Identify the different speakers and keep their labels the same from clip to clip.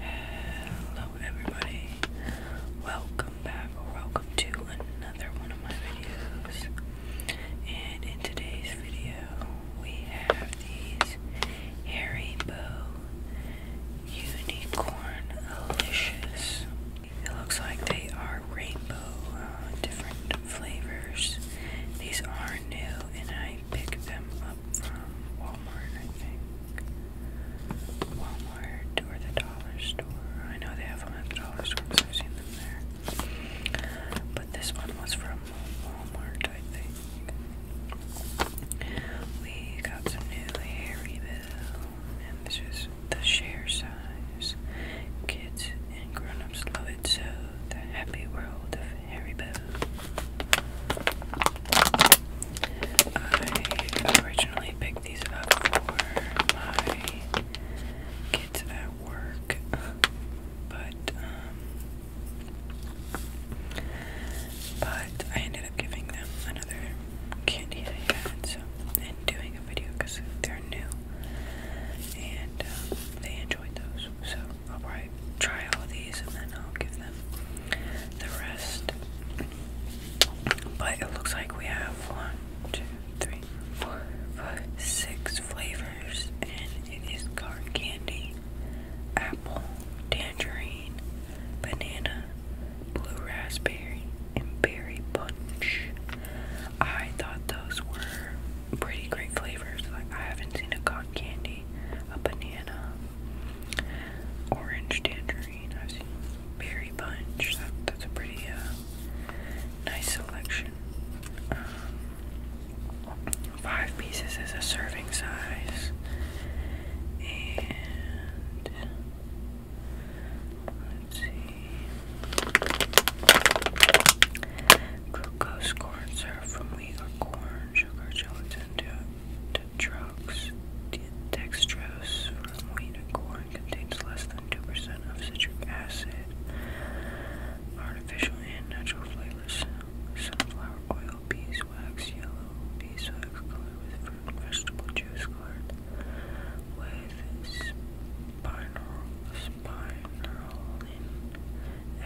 Speaker 1: Hello everybody. Welcome back welcome to another one of my videos. And in today's video we have these Harry Bow Unicorn Alicious. It looks like they are rainbow uh, different flavors. These are new and I I picked them up from Walmart, I think. Walmart or the dollar store. I know they have them at the dollar store I've seen them there. But this one was from Walmart, I think. We got some new hair reveal, and this is the share size. Kids and grown love it so. The happy world of Harry Boo. I originally picked these up for my kids at work, but um, but I ended up giving them another candy I had, so and doing a video because they're new and um, they enjoyed those. So I'll probably try all of these and then I'll give them the rest. But it looks like we have one, two, three, four, five, six flavors, and it is cotton candy, apple, tangerine, banana, blue raspberry, and berry punch. I thought those were pretty great flavors. Like I haven't seen a cotton candy, a banana, Orange tangerine, I've seen berry punch. that's a pretty uh, nice selection. Um, five pieces is a serving size, and let's see, glucose corn syrup from wheat corn, sugar, gelatin, drugs. Dextrose from wheat and corn contains less than 2% of citric acid. Artificial and natural flavors. Sunflower oil, beeswax, yellow beeswax color with fruit and vegetable juice colored with spinal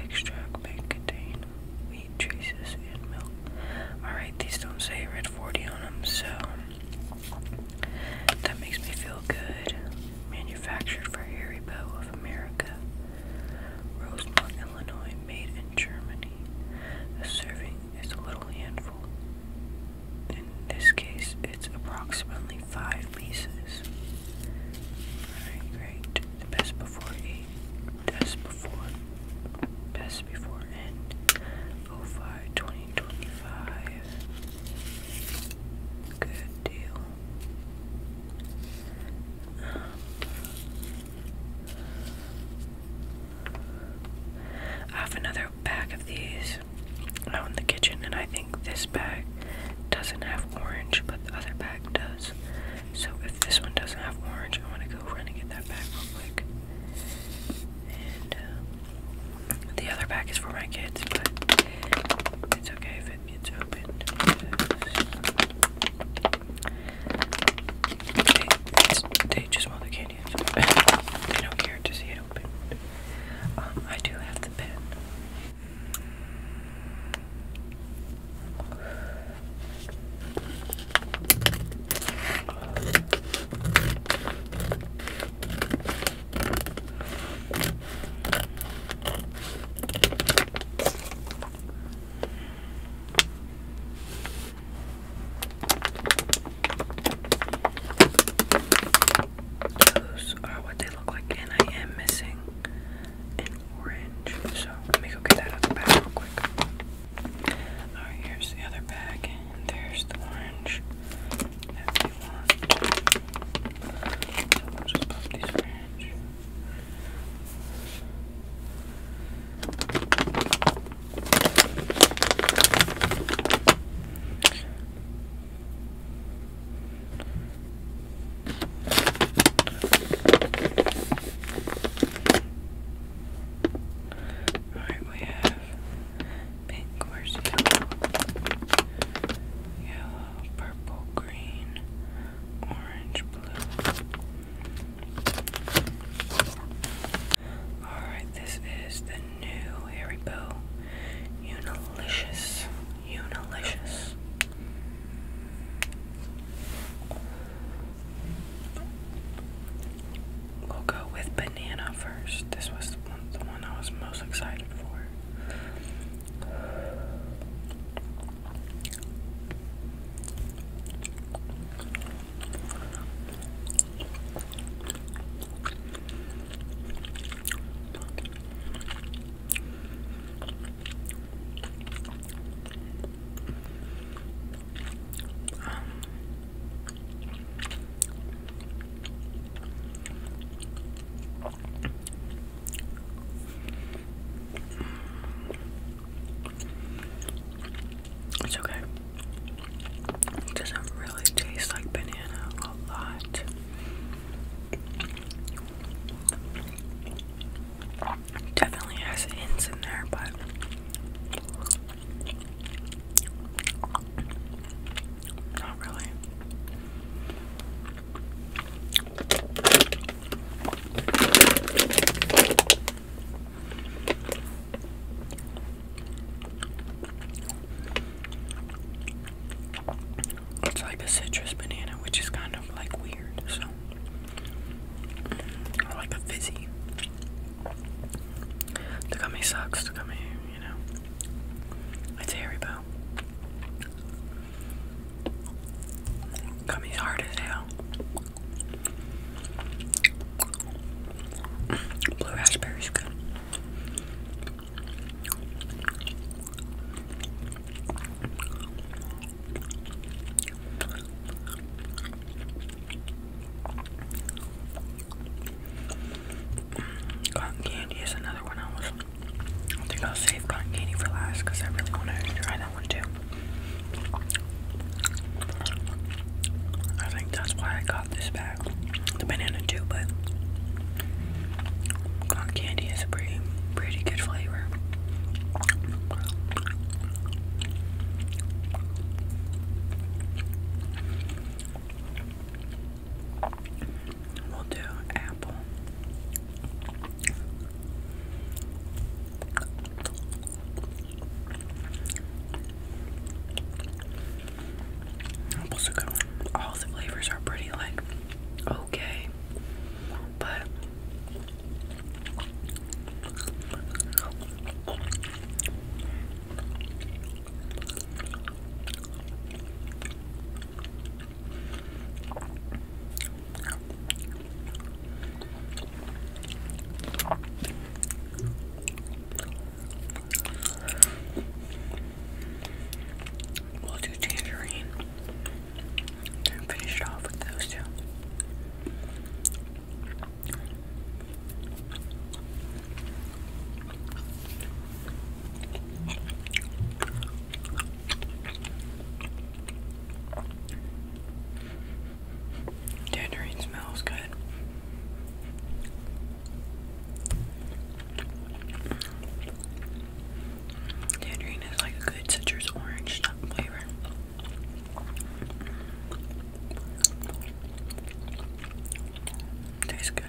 Speaker 1: Extract may contain wheat traces and milk. Alright, these don't say red 40 on them, so that makes me feel good. Manufactured for Harry Bow of America. Rosemont, Illinois, made in Germany. A serving is a little handful. In this case, it's approximately five pieces. Alright, great. The best before eight, best before, best before end, 05 2025. Good deal. I have another bag of these out in the kitchen, and I think this bag doesn't have orange, but the other bag does. So if this one doesn't have orange, I am going to go run and get that back real quick. And uh, the other pack is for my kids, but it's okay if it gets opened. They, just want the candy. they don't care to see it open. Um, I do have the pen. Those are what they look like, and I am missing and orange. So let me go get that other bag real quick. Alright, here's the other bag, and there's the orange So we'll just pop these orange. Alright, we have pink, where's yellow? purple, green, orange, blue. Alright, this is the new Harry Bow Unilicious. Unilicious. We'll go with banana first. This was the one, the one I was most excited for. Um, it's okay. It doesn't really taste like banana a lot. Definitely has hints in there, but not really. It's like a citrus banana, which is kind of like weird, so or like a fizzy. The gummy sucks, the gummy, you know. It's hairy bow. hard as hell. Blue raspberry's good. Cotton candy is another one I was. I think I'll save cotton candy for last because I really want to try that one too. I think that's why I got this bag. The banana too, but cotton candy is a pretty, pretty good flavor. We'll do apple. Apple's good All the flavors are pretty like okay. But We'll do tangerine. Finish it off with those two. Tangerine smells good. Tangerine is like a good citrus orange flavor. Tastes good.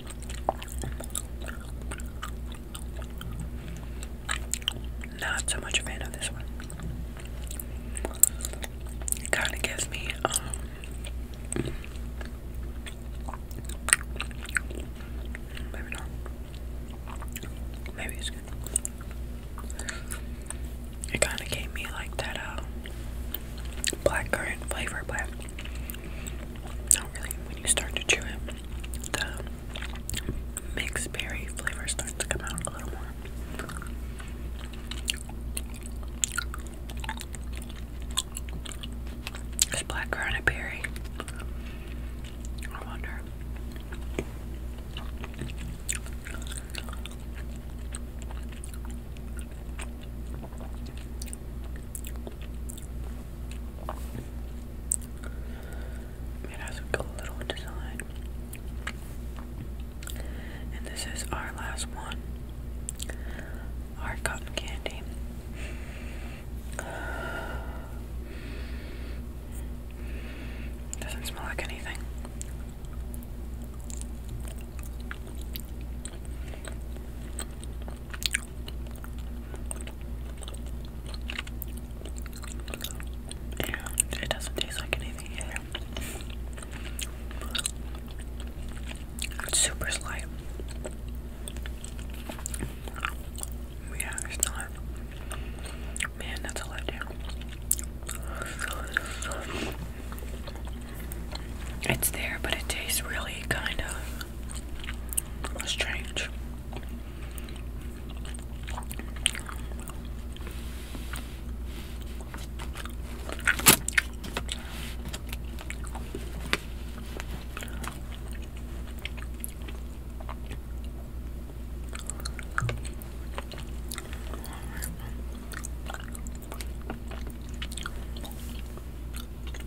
Speaker 1: Not so much a fan of this one. It kind of gives me, um, maybe not. Maybe it's good. It kind of gave me like that uh, blackcurrant flavor, but not really, when you start to chew it, the mixed berry flavor starts to come out a little more. Is black currant berry? I wonder. It has a cool little design. And this is our last one. Our cotton candy. doesn't smell like anything. And it doesn't taste like anything either. It's super slight. Yeah, it's not. Man, that's a letdown. It's there, but it tastes really kind of strange.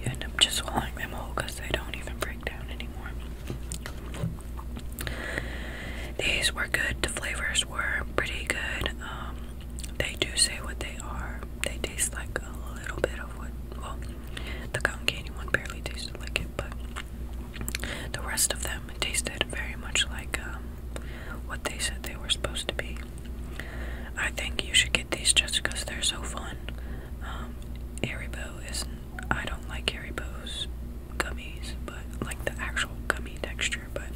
Speaker 1: You end up just swallowing them whole they don't even break down anymore. These were good. The flavors were pretty good. Um, they do say what they are. They taste like a little bit of what. Well, the cotton candy one barely tasted like it, but the rest of them tasted very much like um, what they said they were supposed to be. I think you should get these just because they're so fun. Um, isn't. I don't like Haribo's gummies, but like the actual gummy texture. But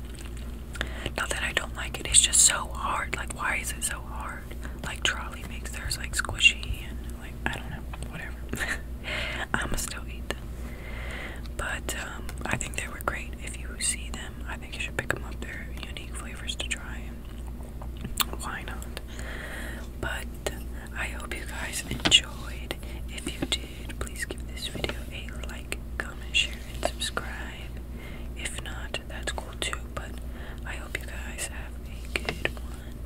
Speaker 1: not that I don't like it. It's just so hard. Like, why is it so hard? Like Trolley makes theirs like squishy and like I don't know, whatever. i am still eat them. But um, I think they were great. If you see them, I think you should pick them up. They're unique flavors to try. Why not? But I hope you guys enjoyed. If you did, please give this video a like, comment, share, and subscribe. If not, that's cool too. But I hope you guys have a good one.